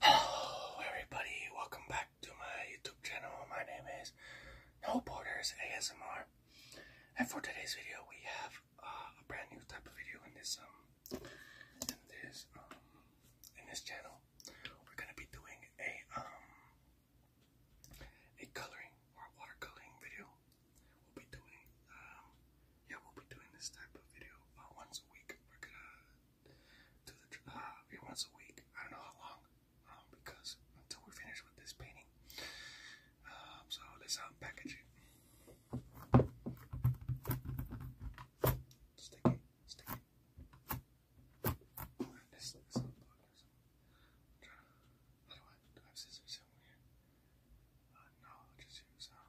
Hello everybody, welcome back to my YouTube channel. My name is No Borders ASMR. And for today's video we have uh, a brand new type of video in this um in this um in this channel. We're gonna be doing a um a coloring or watercoloring video. We'll be doing um yeah we'll be doing this type of video uh, once a week. We're gonna to the uh, it once a week. I don't know how long, um, because until we're finished with this painting. Um, so let's unpackage um, it. Stick it, stick This is some I do scissors somewhere? Uh, no, just use um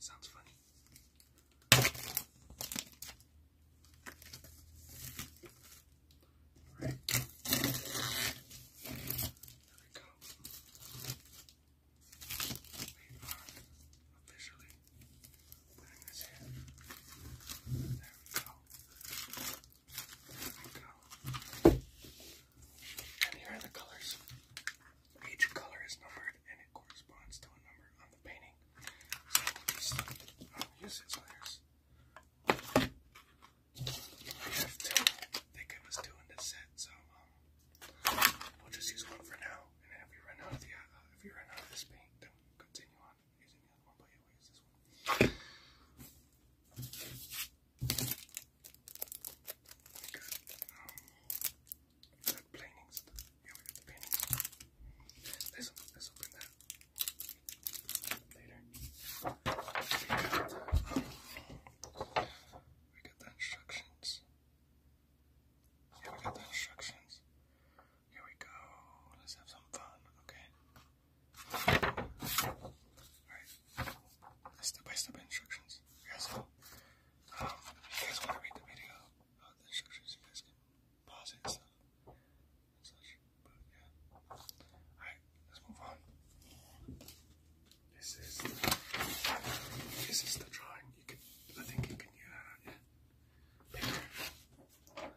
Sounds funny. All right. There we go. We are officially putting this in. There we go. And here are the colors. Each color is numbered and it corresponds to a number on the painting. So will use these layers. We have two. They give us two in this set, so um, we'll just use one for now. And if we run out of the uh, if we run out of this paint, then we continue on using Alcohol by Yahweh is this one. We got, um, we we got the paintings. Let's, let's open that later. We got, the instructions. Yeah, we got the instructions. Here we go. Let's have some fun, okay? Alright. Step by step instructions. you guys um, want to read the video the instructions, you guys can pause it and stuff. But yeah. Alright, let's move on. This is this is the drawing. You could I think you can use that on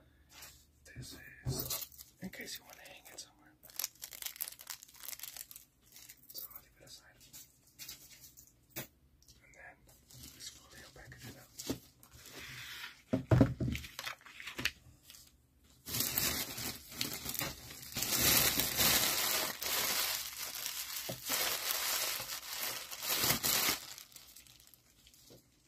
this is in case you want to hang it somewhere. So I'll leave it aside. And then slowly I'll package it up.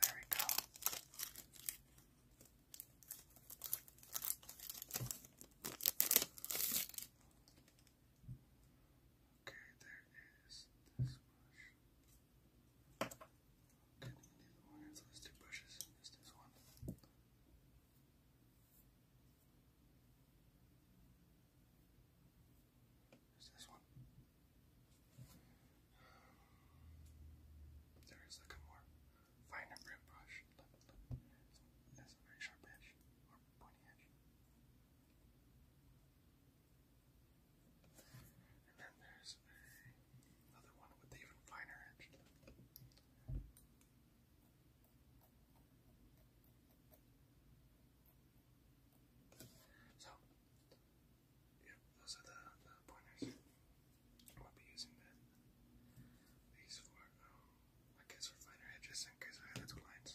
There we go. Okay, there is this brush. Okay, neither one of those two brushes and just this one. There's this one. There is like a more finer grit brush. Look, look. It has a very sharp edge or pointy edge. And then there's another one with even finer edge. So, Yep, those are the, pointers. I'll be using that. These for, um, I guess for finer edges in I have two lines.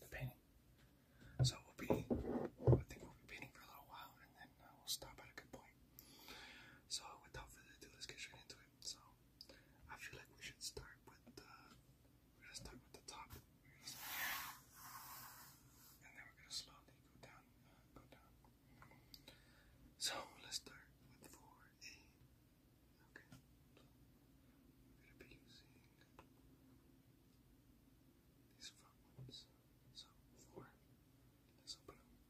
the painting. So we'll be, I think we'll be painting for a little while, and then uh, we'll stop at a good point. So without further ado, let's get straight into it. So I feel like we should start with we're gonna start with the top, and then we're gonna slowly go down, uh, go down. So let's start with 4A. Okay, these front ones. So four. Let's open them.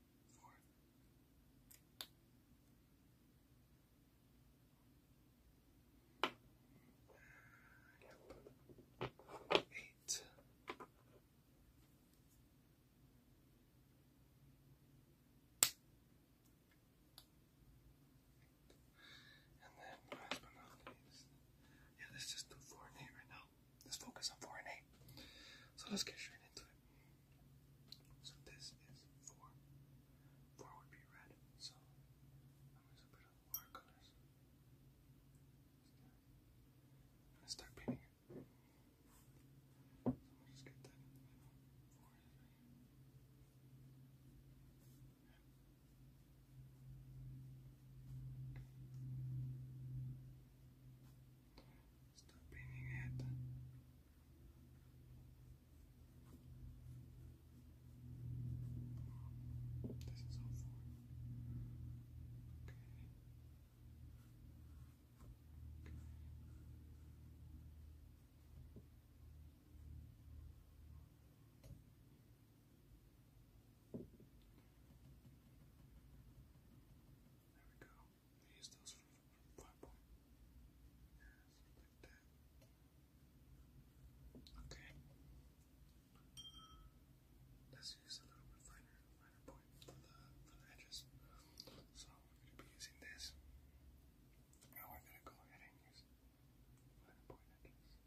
Four. Yep. Eight yeah, let's just four and eight right now. Let's focus on four and eight. So let's get straight into it. So this is four. Four would be red. So I'm gonna put on watercolors. i start painting it. Stop painting it. This is all for okay. Okay. There we go. use those for platform. Yes, like that. Okay. Let's use a little bit finer, finer point for the edges. So we're gonna be using this. Now we're gonna go ahead and use finer point edges.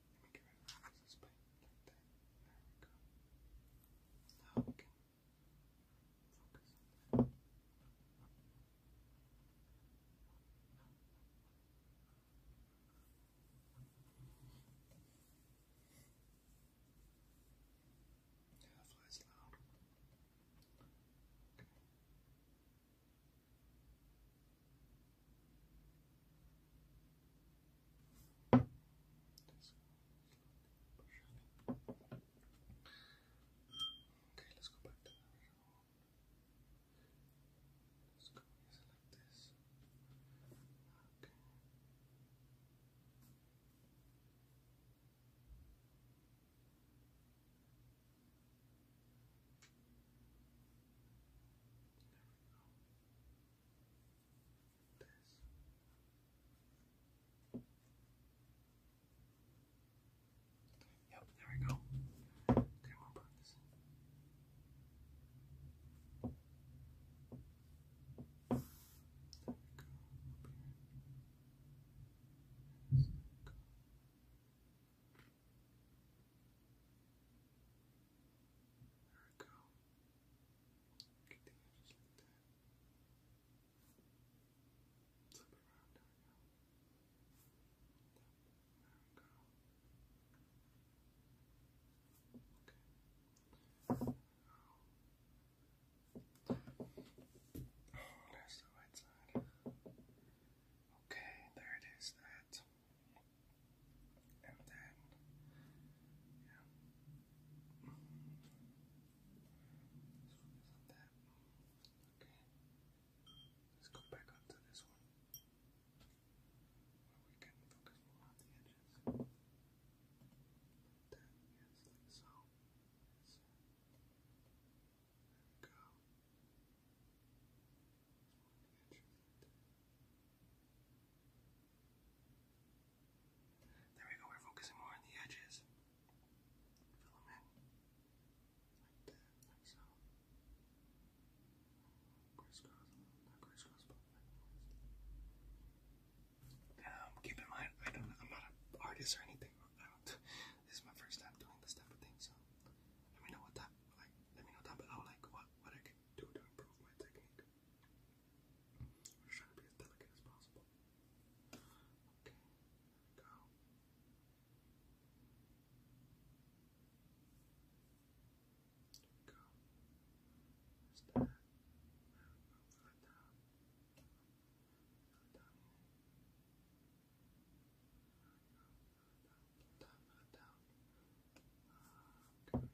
Let me get rid of this paint There we go. Now focus that. Yeah, loud. Okay, let's go back to the original Let's go like this. Okay. There we go this. Yep, there we go. Okay, we'll There we go. Up here. Go. There we go. Continue just like that. Flip around, there we go. Okay. Oh, there's the right side. Okay, there it is, that and then yeah. let that. Okay. Let's go back up this one. Where we can focus more on the edges. Like that, yes, like so. There we go. There we go, we're focusing more on the edges. Fill them in. so. Um, keep in mind, I don't, I'm not an artist or anything. this is my first time doing this type of thing, so let me know what that, let me know down below, like, what, what I can do to improve my technique. I'm trying to be as delicate as possible. Okay, go. go. There's that. There we go. Fill down. down down. down. down.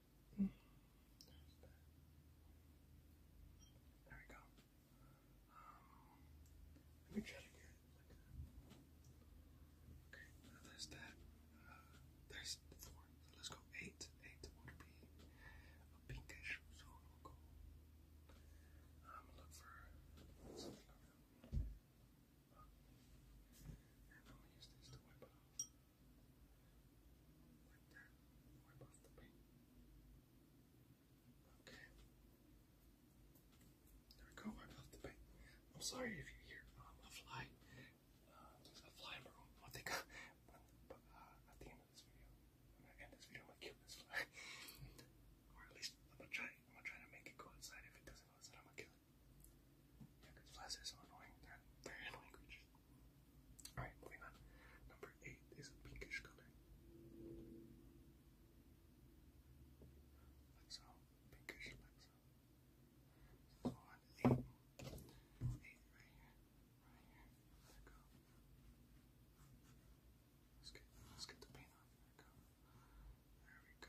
Mm. There we go. Um, let me try to get Okay, now there's that. Uh, there's four. So let's go eight. Eight would be a pinkish, so we'll go. I'm gonna look for something around. Uh, and I'm gonna use this to wipe it off. Like that, more above the wing. Okay. There we go, right above the wing. I'm sorry if you hear a fly. a fly in my room. I'll take but, at the end of this video, I'm gonna end this video, I'm gonna kill this fly. or at least, I'm gonna, try, I'm gonna try to make it go outside. If it doesn't go outside, I'm gonna kill it. Yeah, flies are so annoying. They're, they're annoying creatures. Alright, moving on. Number eight is a pinkish color. Like so. Pinkish, like so. So right here. Right here. Let's get let's get the paint on. There we go.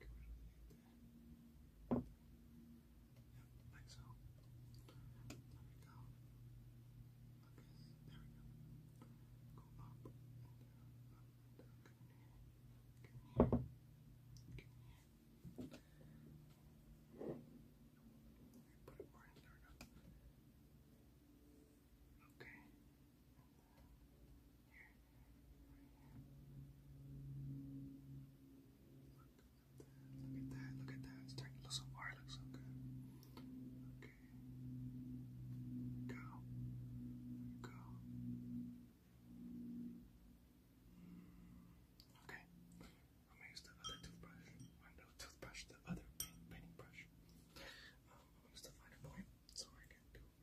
Get rid of the ink there. Yep, like so. There we go. Okay, there we go. Go up and down, up and down. Get in here. Get in here. Get in here. Put it more in there now. Okay. And Look at that, look at that. It's starting to look so far, it looks so good. Okay. Go. Go. Okay. I'm gonna use the other toothbrush. Or no toothbrush, the other painting brush. I'm gonna use the um, finer point so I can do um,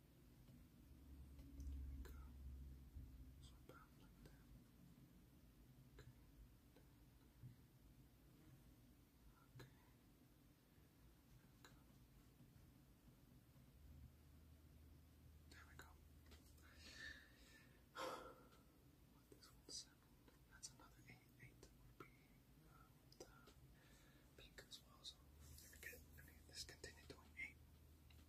Okay. So about like that. Okay. Okay. Okay. There we go. this one seven. That's another eight. Eight would be the pink as well. So if we get I mean, continue doing eight.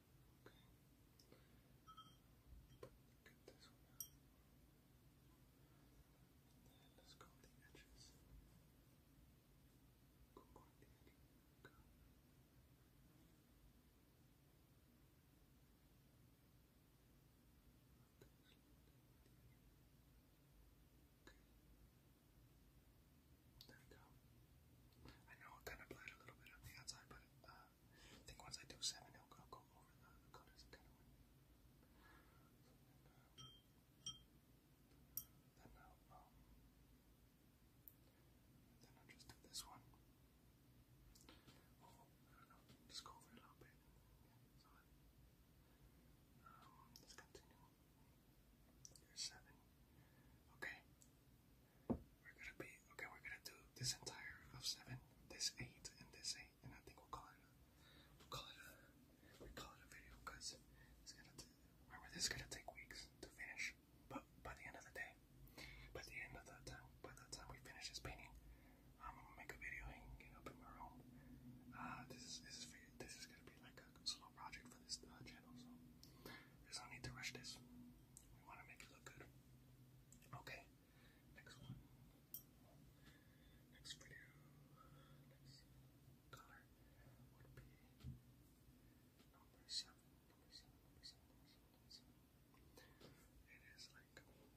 Get this one out. And then let's go with the edges. Go on the edge. Go. Okay. There we go. I know it kind of bled a little bit on the outside, but uh, I think once I do seven, it'll go, over the, the colors kind of win. Then I'll, then i just do this one. Oh, I don't know, just go over a little bit. Yeah, um, let's continue. Here's seven. Okay, we're gonna be okay. We're gonna do this entire of seven, this eight, and this eight, and I think we'll call it. A, we'll call it a. We will call it we call it a video because it's gonna. remember, this is gonna take weeks to finish. But by the end of the day, by the end of the time, by the time we finish this painting, I'm gonna make a video and get up in my room. Uh, this is this is this is gonna be like a slow project for this uh, channel, so there's no need to rush this. We want to make it look good. Okay, next one. Next video, next color would be number seven. Number seven, number seven, number seven, number seven. It is like, okay,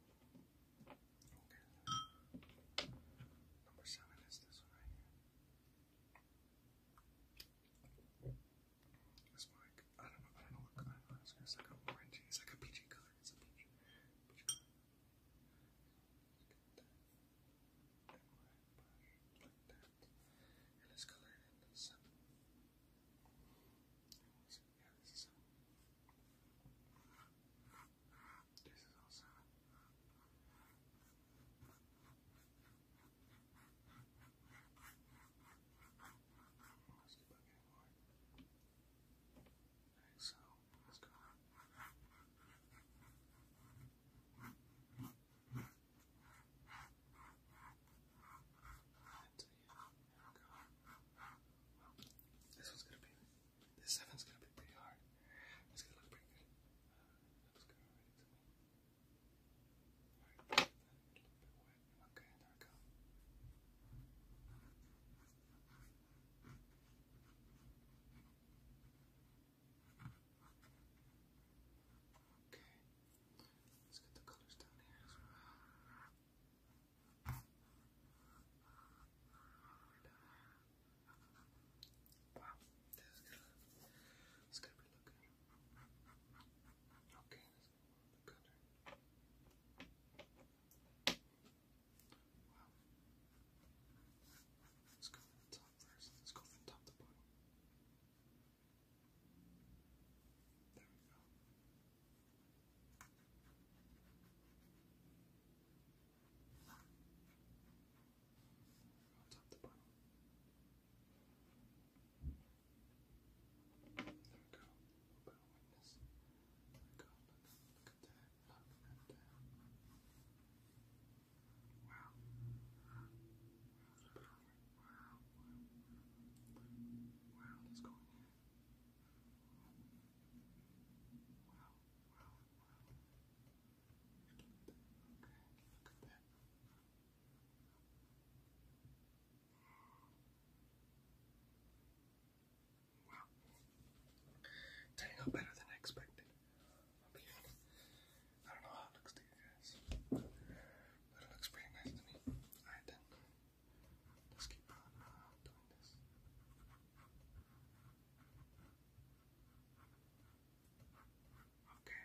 number seven is this one right here. It's like I don't know, I don't know what kind of it's like a orangey, it's like a peachy color, it's a peach, peach color. Like that. And it's colored in the sun. Yeah, this is sun. This is also. This is Let's so let's go. this one's gonna be, this seven's gonna be pretty hard. It's gonna look pretty good. Uh, that looks Right, a Okay, let's get the colors down here as well. this is going this is be looking Okay, let's go on the cutter. Wow. Let's go from the top first. Let's go from top to bottom. There we go. Top to bottom. There we go. A little bit There we go. Look, at that. Look at that. Wow. Wow. That's perfect. Wow. Wow. Wow. Let's go in here. Wow. Wow. Wow. Okay. Look at that. Wow. Turning out better than I expected. I don't know how it looks to you guys, but it looks pretty nice to me. Alright then, let's keep on uh, doing this. Okay,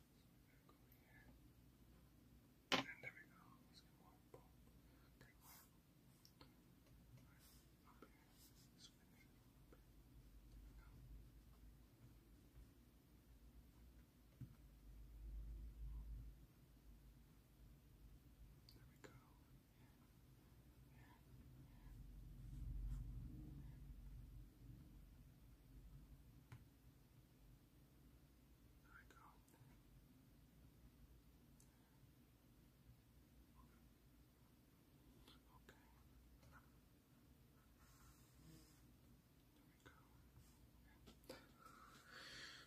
Go here. And there we go. Let's get more. Boom. Take one. Right. Up here. Let's finish it. There we go. There we go. There we go. There we go. Okay. There we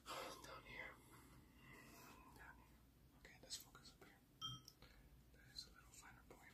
go. Down here. Down here. Okay, let's focus up here. That is a little finer point.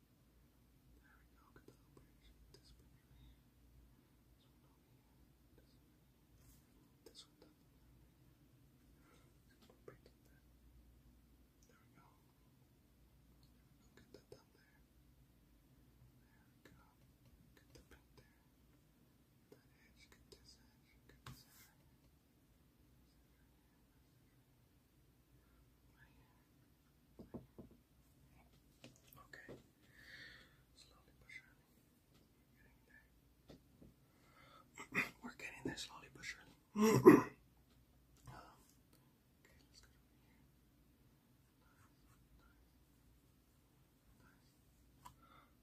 There we go, get the little bridge. This bridge here. This one This one down there. Bridge that. There There we go, get that down there. There we go. Get the pink there. That edge, get this edge, get this edge Okay. Slowly but surely. We're getting there. We're slowly but surely. Oh,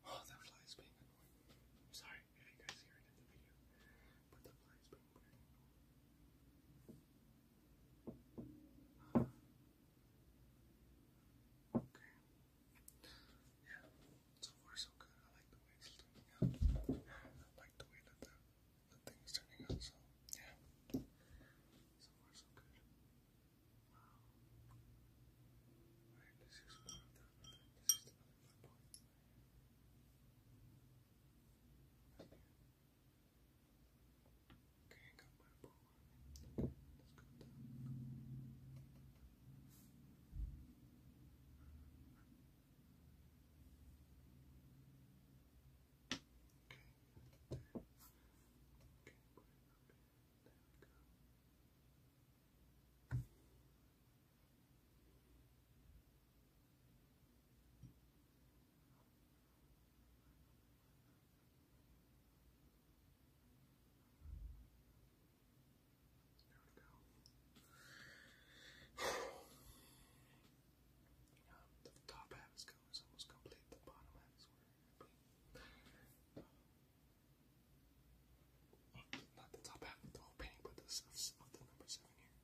that fly is being annoying. I'm sorry if you guys hear the video, Okay. Yeah. So far so good. I like the way it's turning out. I like the way that the thing is turning out. So yeah. So far so good. Wow. Alright, this is one point. Okay, I got my ball let's go down. Okay, Okay, put it go. There we go. the top half is almost complete. The bottom half is where not the top half of the whole painting, but the of, of the number seven here.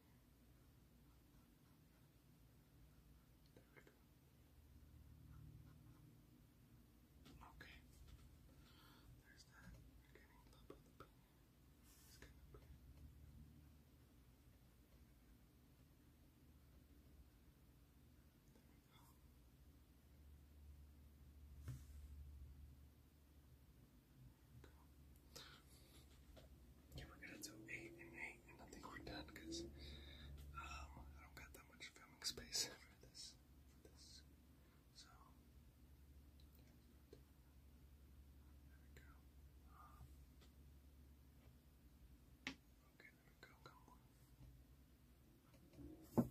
There we go. Okay. There's that. We're getting the bubble the pain. It's kind of pain. There we go. Yeah, we're gonna do eight and eight, and I think we're done because um, I don't got that much filming space for this. so there we go. There we go.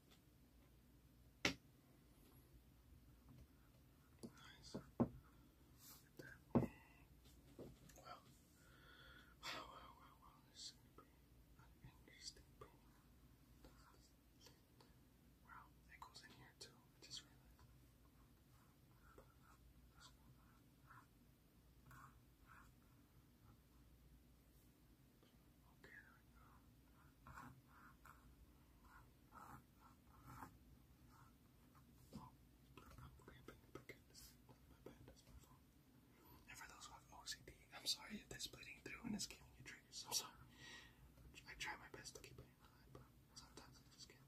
Nice. Look Wow. Wow, wow, wow, wow. that goes in here too. just realized. Okay, for those who have OCD, I'm sorry if that's bleeding through and it's giving you triggers. I'm sorry. I try my best to keep it in line, but sometimes I just can't.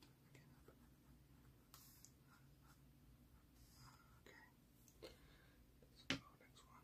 Okay. Let's go next one.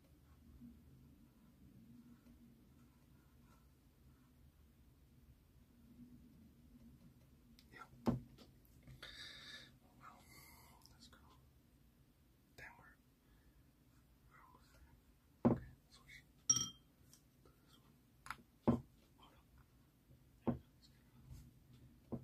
Yeah. Well, let's go downward. Where was that? Okay, switch. This one. Oh, no. There it goes.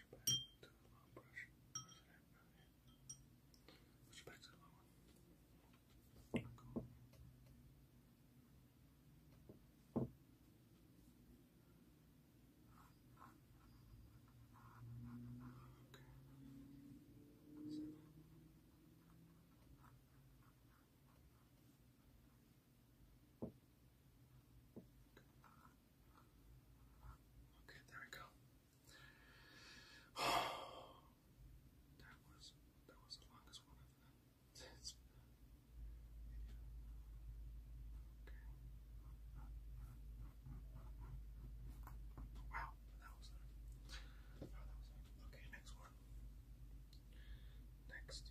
I'll back to the long brush. Where's back to the long one. Cool. Okay. Okay, there we go. that was that was the longest one I've Wow, that was okay. Next one. Next.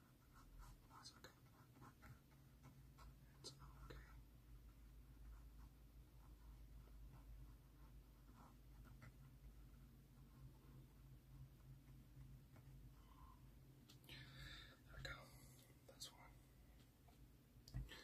That's There we go. That's one. Another one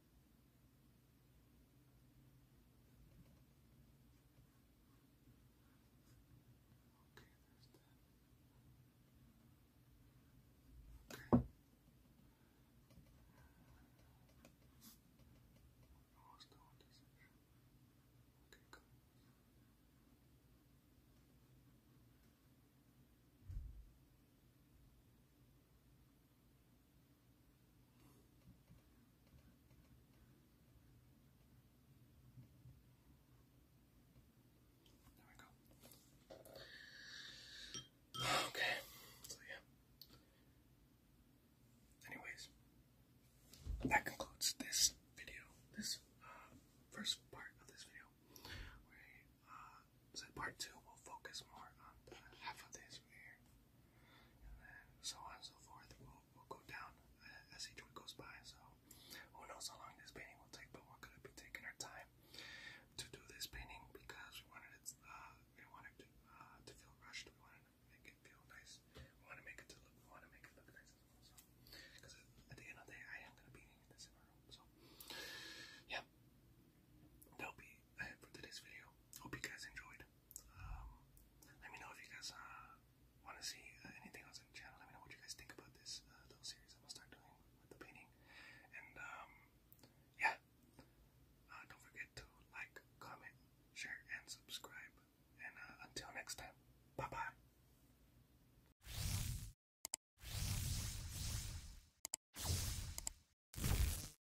Okay. Almost no one does it. Okay, good. Okay. There we go. Okay, so yeah. Anyways, that concludes this video, this uh, first part of this video. Uh, part two will focus more on half of this right and so on and so forth will will go down as each one goes by. So who knows how long this painting will take, but we're gonna be taking our time to do this painting because we wanted it. Uh, we wanted uh, to, feel rushed. We wanted to make it feel nice. We want to make it look. We want to make it look nice as well. because at the end of the day, I am gonna be in this in my room. So yeah, that'll be it for today's video. Hope you guys enjoyed. Um, let me know if you guys uh, want to see uh, anything else in the channel. Let me know what you guys think about this uh, little series I'm gonna start doing with the painting. And um, yeah, don't forget to like, comment, share, and subscribe. And until next time, bye bye.